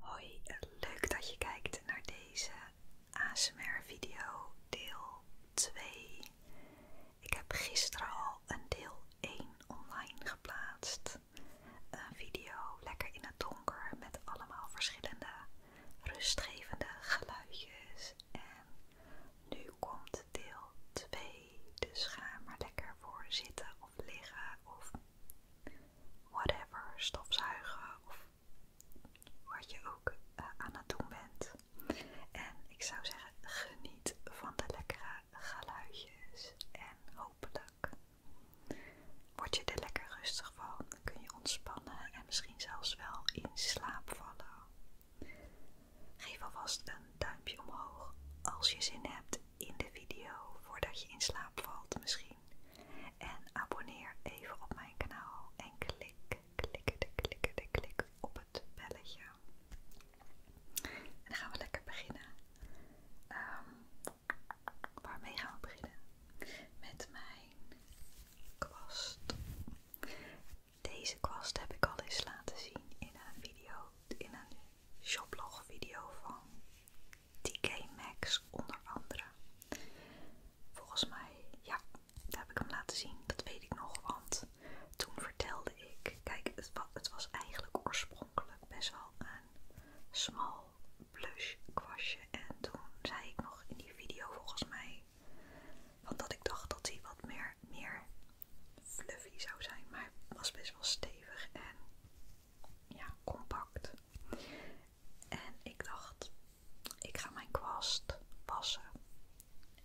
Hoi, leuk dat je kijkt naar deze ASMR video deel 2. Ik heb gisteren al een deel 1 online geplaatst. Een video lekker in het donker met allemaal verschillende rustgevende geluidjes. En nu komt deel 2, dus ga maar lekker voor zitten of liggen of whatever, stofzuigen of wat je ook eh, aan het doen bent. En ik zou zeggen, geniet van de lekkere geluidjes en hopelijk word je er lekker rustig van. kun je ontspannen en misschien zelfs wel in slaap vallen. Geef alvast een duimpje omhoog als je zin hebt in de video voordat je in slaap valt misschien. En abonneer even op mijn kanaal en klik, klik de klik op het belletje. En dan gaan we lekker beginnen. Ehm, waarmee gaan we beginnen? Met mijn kwast. Deze kwast heb ik al eens laten zien in een video, in een shoplog video van TK Maxx onder andere. Volgens mij, ja, daar heb ik hem laten zien. Dat weet ik nog, want toen vertelde ik... Kijk, het, was eigenlijk oorspronkelijk best wel een small blush kwastje. En toen zei ik nog in die video volgens mij... Want dat ik dacht dat hij wat meer, meer fluffy zou zijn. Maar hij was best wel stevig en ja, compact. En ik dacht, ik ga mijn kwast wassen.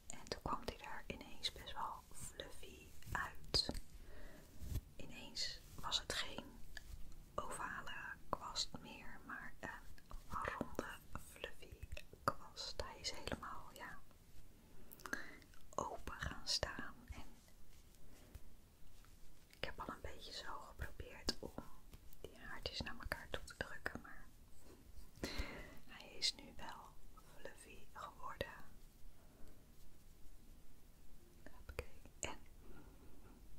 En toen kwam die er ineens best wel fluffy uit. Ineens was het geen ovale kwast meer, maar een ronde fluffy kwast. Hij is helemaal ja, open gaan staan en ik heb al een beetje zo geprobeerd om die haartjes naar elkaar toe te drukken, maar hij is nu wel fluffy geworden. Oké, En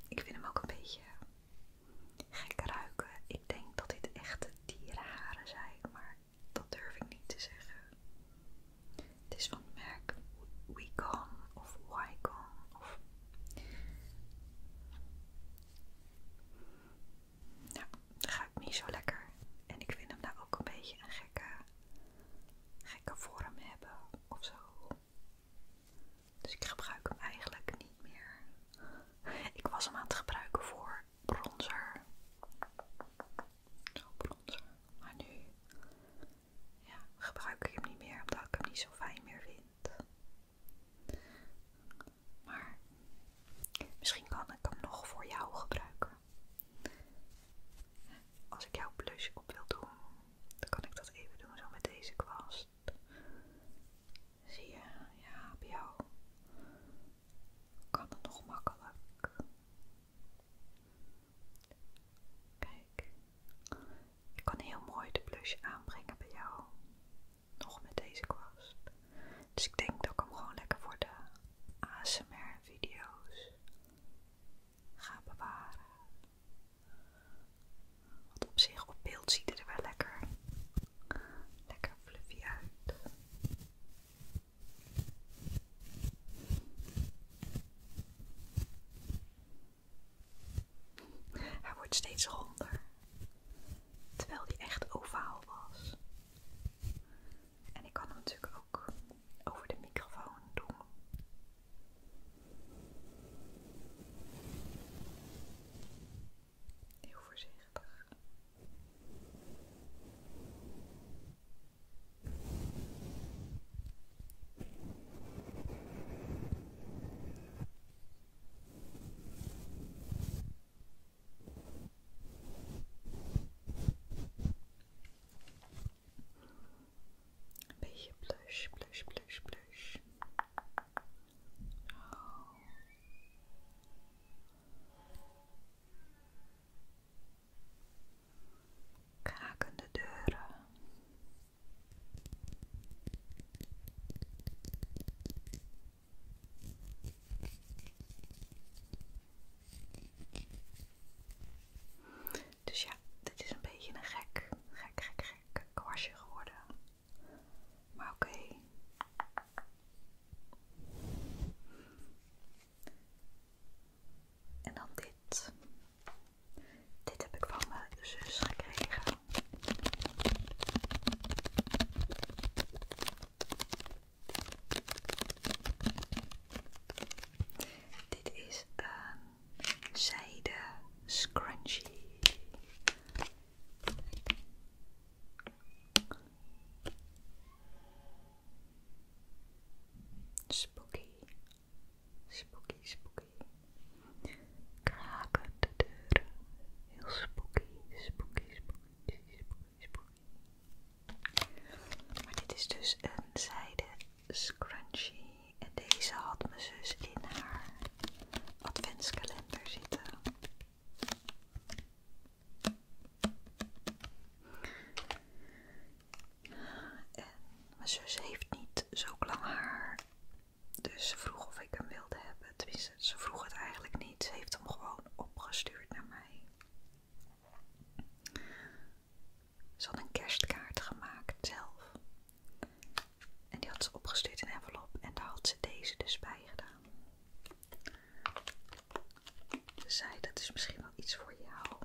ik vind hem ook een beetje gek ruiken. Ik denk dat dit echte dierenharen zijn, maar dat durf ik niet te zeggen. Het is van merk of Wycon dat Nou, ik niet zo lekker. En ik vind hem nou ook een beetje een gekke, gekke vorm hebben of zo. Dus ik gebruik hem eigenlijk niet meer. Ik was hem aan het gebruiken voor bronzer. Zo nou, bronzer. Maar nu ja, gebruik ik hem niet meer omdat ik hem niet zo fijn meer vind. Maar misschien kan ik hem nog voor jou gebruiken. Als ik jouw blush op wil doen, dan kan ik dat even doen zo met deze kwast. Zie je, ja, bij jou kan het nog makkelijk. Kijk, ik kan heel mooi de blush aanbrengen bij jou. Nog met deze kwast. Dus ik denk dat ik hem gewoon lekker voor de ASMR-video's ga bewaren. Want op zich op beeld ziet het er wel lekker, lekker fluffy uit. Hij wordt steeds ronder, terwijl die echt ovaal was. En ik kan hem natuurlijk ook over de microfoon doen. Heel voorzichtig beetje blush, blush, blush, blush. Oh. Krakende deuren. Dus ja, dit is een beetje een gek, gek, gek, gek kwastje geworden. Maar oké. En dan dit dit. heb ik van mijn zus gekregen. Dit is een zijde scrunchie. Spooky Spooky, spooky. Kraken de deuren. Heel spooky, spooky, spooky, spooky, spooky. Maar dit is dus een zijde scrunchie. En deze had mijn zus in haar adventskalender zitten. En mijn zus heeft niet zo lang haar dus ze vroeg of ik hem wilde hebben. ze vroeg het eigenlijk niet. Ze heeft hem gewoon opgestuurd naar mij. Ze had een kerstkaart gemaakt zelf. En die had ze opgestuurd in een envelop. En daar had ze deze dus bij gedaan. Ze zei, dat is misschien wel iets voor jou.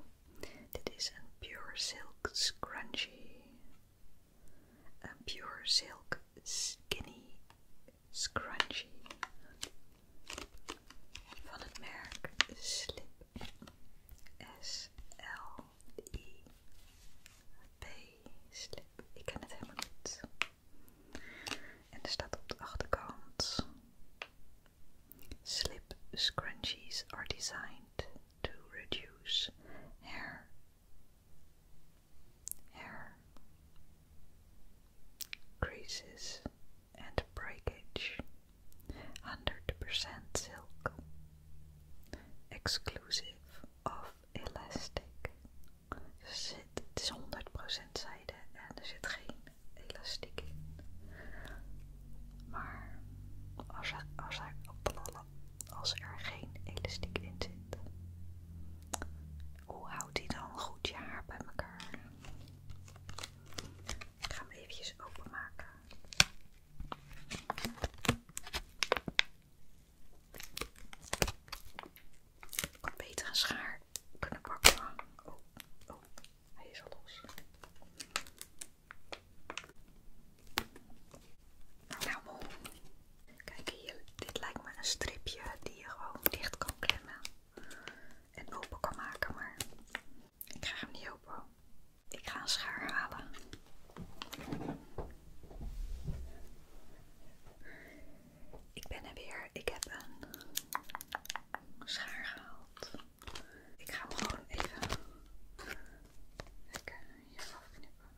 Dit is een Pure Silk Scrunchie. Een pure silk skinny scrunchie van het merk Slip. S-L-I-P. Slip. Ik ken het helemaal niet. En er staat op de achterkant: Slip scrunchies are designed to reduce hair hair creases and breakage 100% silk exclusive of elastic zit, is 100% zijde en er zit geen elastiek in maar als hij, als hij, als er geen elastiek in zit. Hoe houdt hij dan goed je haar bij elkaar? Ik ga hem eventjes openmaken. Ik had beter een schaar kunnen pakken. Oh, oh, hij is al los. Nou, nou Kijk hier, dit lijkt me een stripje die je gewoon dicht kan klemmen en open kan maken, maar ik ga hem niet open. Ik ga een schaar halen. Ik ben er weer. Ik heb een schaar gehaald. Ik ga hem gewoon even Lekker je afknippen.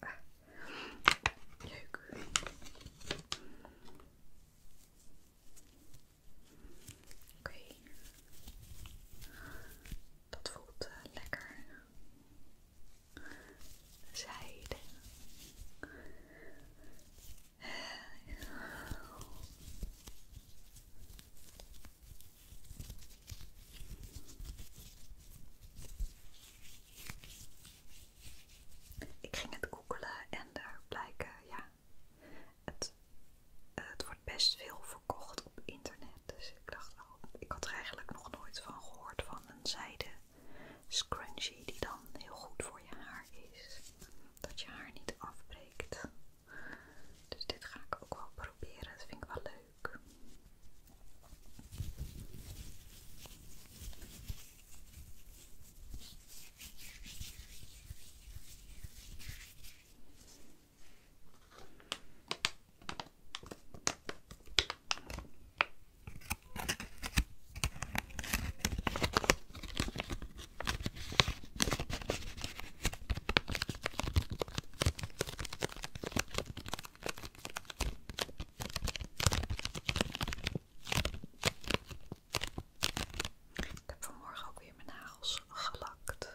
Ah, Oké. Dat voelt eh, lekker. Zijde. Ik ging het googelen en daar blijkt ja, het, eh, het wordt best veel verkocht op internet. Dus ik dacht, oh, ik had er eigenlijk nog nooit van gehoord van een zijde scrunchie die dan heel goed voor je haar is. Dat je haar niet afbreekt. Dus dit ga ik ook wel proberen. Dat vind ik wel leuk. Ik heb vanmorgen ook weer mijn nagels gelakt.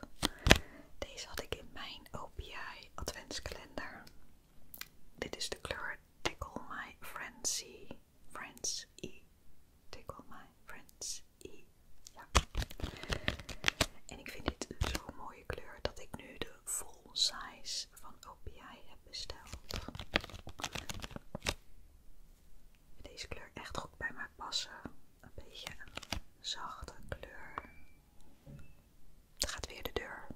Deze had ik in mijn OPI adventskalender. Dit is de kleur Tickle My Frenzy friends take Tickle My friends E. Ja. En ik vind dit zo'n mooie kleur dat ik nu de full size van OPI heb besteld. Deze kleur echt goed bij mij passen. Een beetje een zachte kleur. Het gaat weer de deur.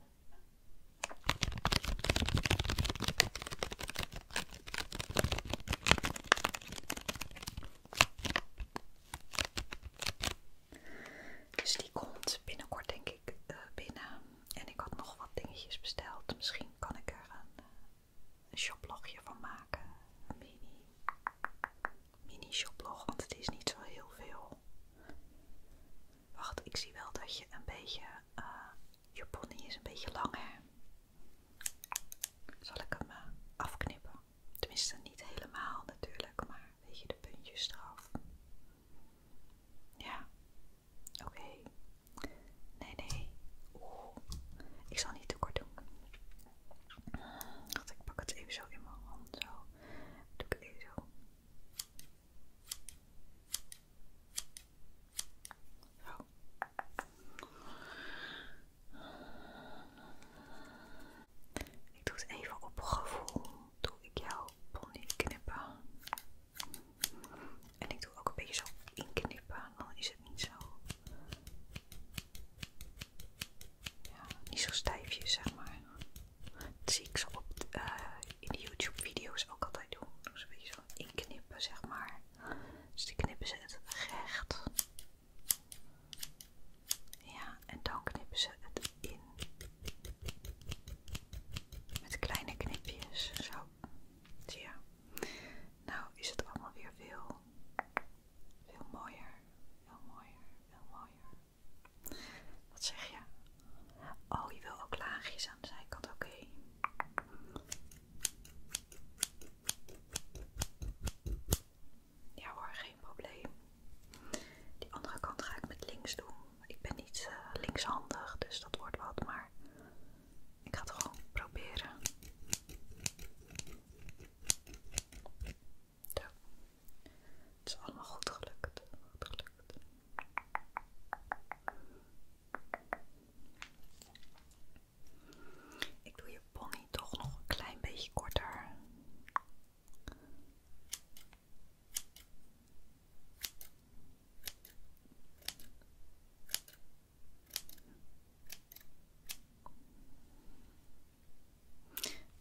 Dus die komt binnenkort denk ik eh, binnen. En ik had nog wat dingetjes besteld. Misschien kan ik er eh, een, shoplogje van maken. Een mini, mini shoplog, want het is niet zo heel veel. Wacht, ik zie wel dat je een beetje... Eh, je pony is een beetje lang hè zal ik hem eh, afknippen. Tenminste, niet helemaal natuurlijk, maar weet je, de puntjes eraf. Ja, oké. Nee, nee. Oeh. Ik zal niet te kort doen. Want ik pak het even zo in mijn hand. Zo. Doe ik even zo. Zo. Ik doe het even op gevoel. Doe ik jouw pony knippen. En ik doe ook een beetje zo inknippen, dan is het niet zo. Ja, niet zo stijfjes, zeg maar. Dat zie ik zo op, eh, in de YouTube-video's ook altijd doen. Zo een beetje zo inknippen, zeg maar. Dus die knippen ze het recht. Ja, en dan knippen ze het in. Met kleine knipjes, zo. Zie je. Nou is het allemaal weer veel, veel mooier. Veel mooier, veel mooier. Wat zeg je? Oh, je wil ook laagjes aan de zijkant, oké. Ja hoor, geen probleem. Die andere kant ga ik met links doen. Ik ben niet eh, linkshandig, dus dat wordt wat, maar ik ga het gewoon proberen. Zo. Het is allemaal goed gelukt. Goed gelukt. Ik doe je pony toch nog een klein beetje korter.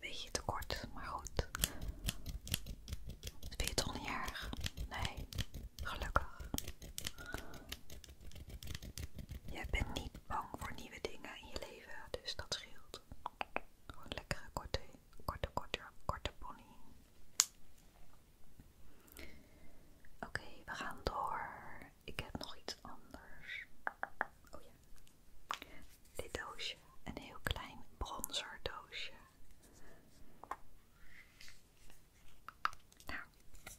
Beetje te kort, maar goed. Dat vind je toch niet erg? Nee, Gelukkig. Je bent niet bang voor nieuwe dingen in je leven, dus dat scheelt. Gewoon lekkere korte, korte, korte, korte pony. Oké, we gaan door. Ik heb nog iets anders. Oh ja. Dit doosje. Een heel klein bronzer doosje. Nou,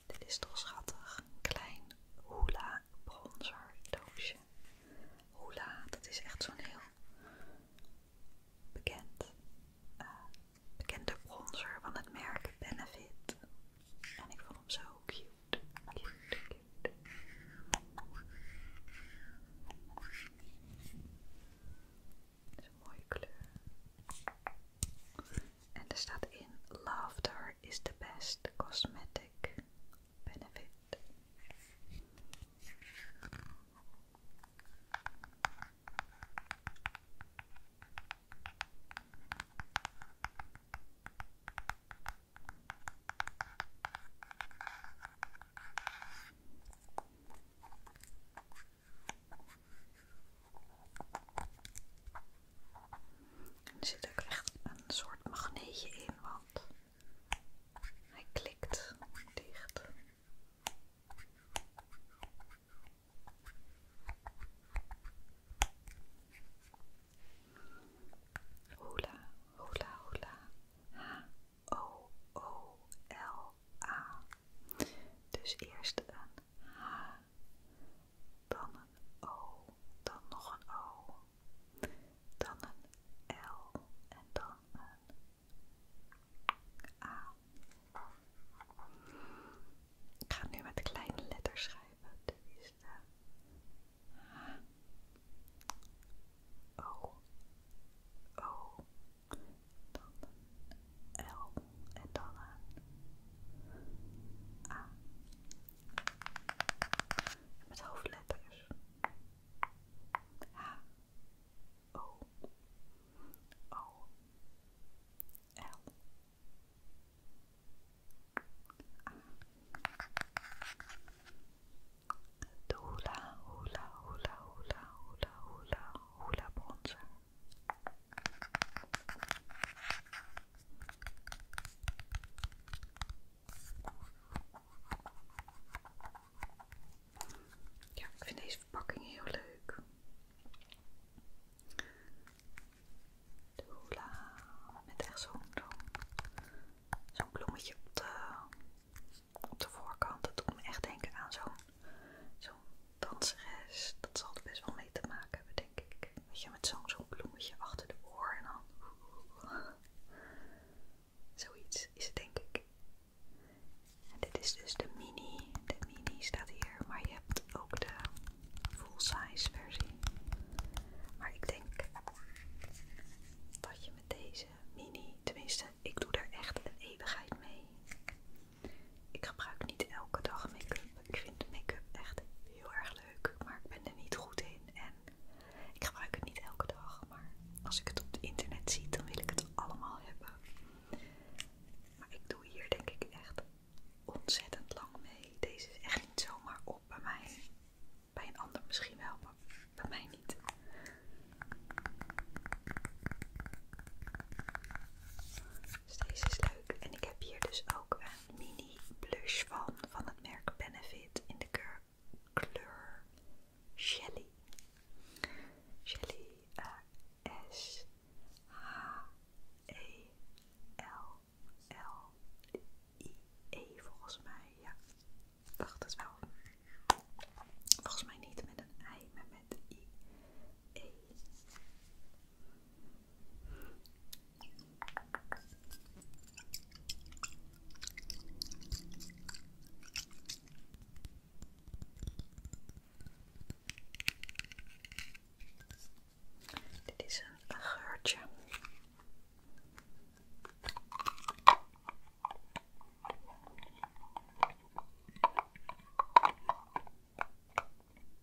dit is toch schattig. Een klein hula bronzer doosje. Hula, dat is echt zo'n heel bekend, eh, bekende bronzer van het merk Benefit. En ik vond hem zo cute. Cute, cute. is een mooie kleur. And er staat in: Laughter is the best cosmetic benefit. Er zit ook echt een soort magneetje in, want hij klikt dicht. Hola, hola, hola. H-O-O-L-A. Dus eerst een dan een O, dan nog een O, dan een L en dan een A. Ik ga nu met kleine letters schrijven. Dit de H, O, O, L en met hoofdletters. H, O, O, L. Ja, ik vind deze verpakking heel leuk. met echt zo'n zo'n bloemetje op de, op de voorkant. Dat doet me echt denken aan zo'n zo'n danseres, dat zal er best wel mee te maken hebben, denk ik. Weet je, met zo'n zo'n bloemetje achter de oor en dan... Zoiets is het, denk ik. En dit is dus de mini. De mini staat hier, maar je hebt ook de full-size versie. Maar ik denk dat je met deze mini, tenminste, ik doe er echt een eeuwigheid mee. Ik gebruik niet elke dag make-up. Ik vind make-up echt heel erg leuk, maar ik ben er niet goed in. En ik gebruik het niet elke dag, maar als ik het op het internet zie, dan wil ik het allemaal hebben. Maar ik doe hier denk ik echt ontzettend lang mee. Deze is echt niet zomaar op bij mij. Bij een ander misschien wel, maar bij mij niet. Dus deze is leuk. En ik heb hier dus ook een mini blush van, van het merk Benefit in de kleur, Shelly. Shelly S H E L L I E volgens mij. Ja, dacht het wel. Volgens mij niet met een I, dit is een geurtje.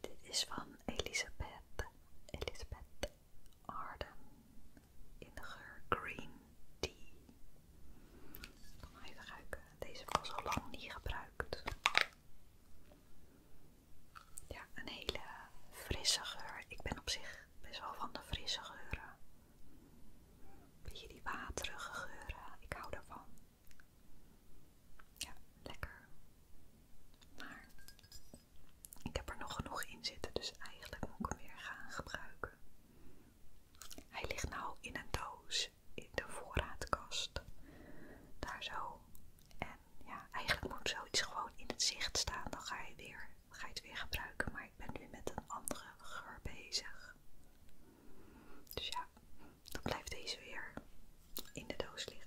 Dit is van Elisabeth, Elisabeth Arden in de geur Green Tea. Ik even ruiken. Deze was al lang niet gebruikt. Ja, een hele frisse geur. Ik ben op zich best wel van de frisse geuren. Beetje die waterige geuren. Ik hou daarvan. Ja, lekker. Maar ik heb er nog genoeg in zitten, dus eigenlijk moet ik hem weer gaan gebruiken. Hij ligt nou in een doos in de voorraadkast. Daar zo. En ja, eigenlijk moet zoiets gewoon in het zicht staan. Dan ga je, weer, ga je het weer gebruiken. Maar ik ben nu met een andere geur bezig. Dus ja, dan blijft deze weer in de doos liggen.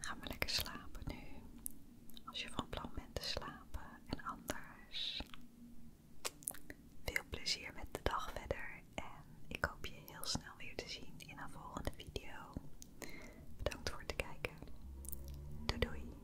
Ga maar lekker slapen nu. Als je van plan bent te slapen en anders. Veel plezier met de dag verder en ik hoop je heel snel weer te zien in een volgende video. Bedankt voor het kijken. Doei doei!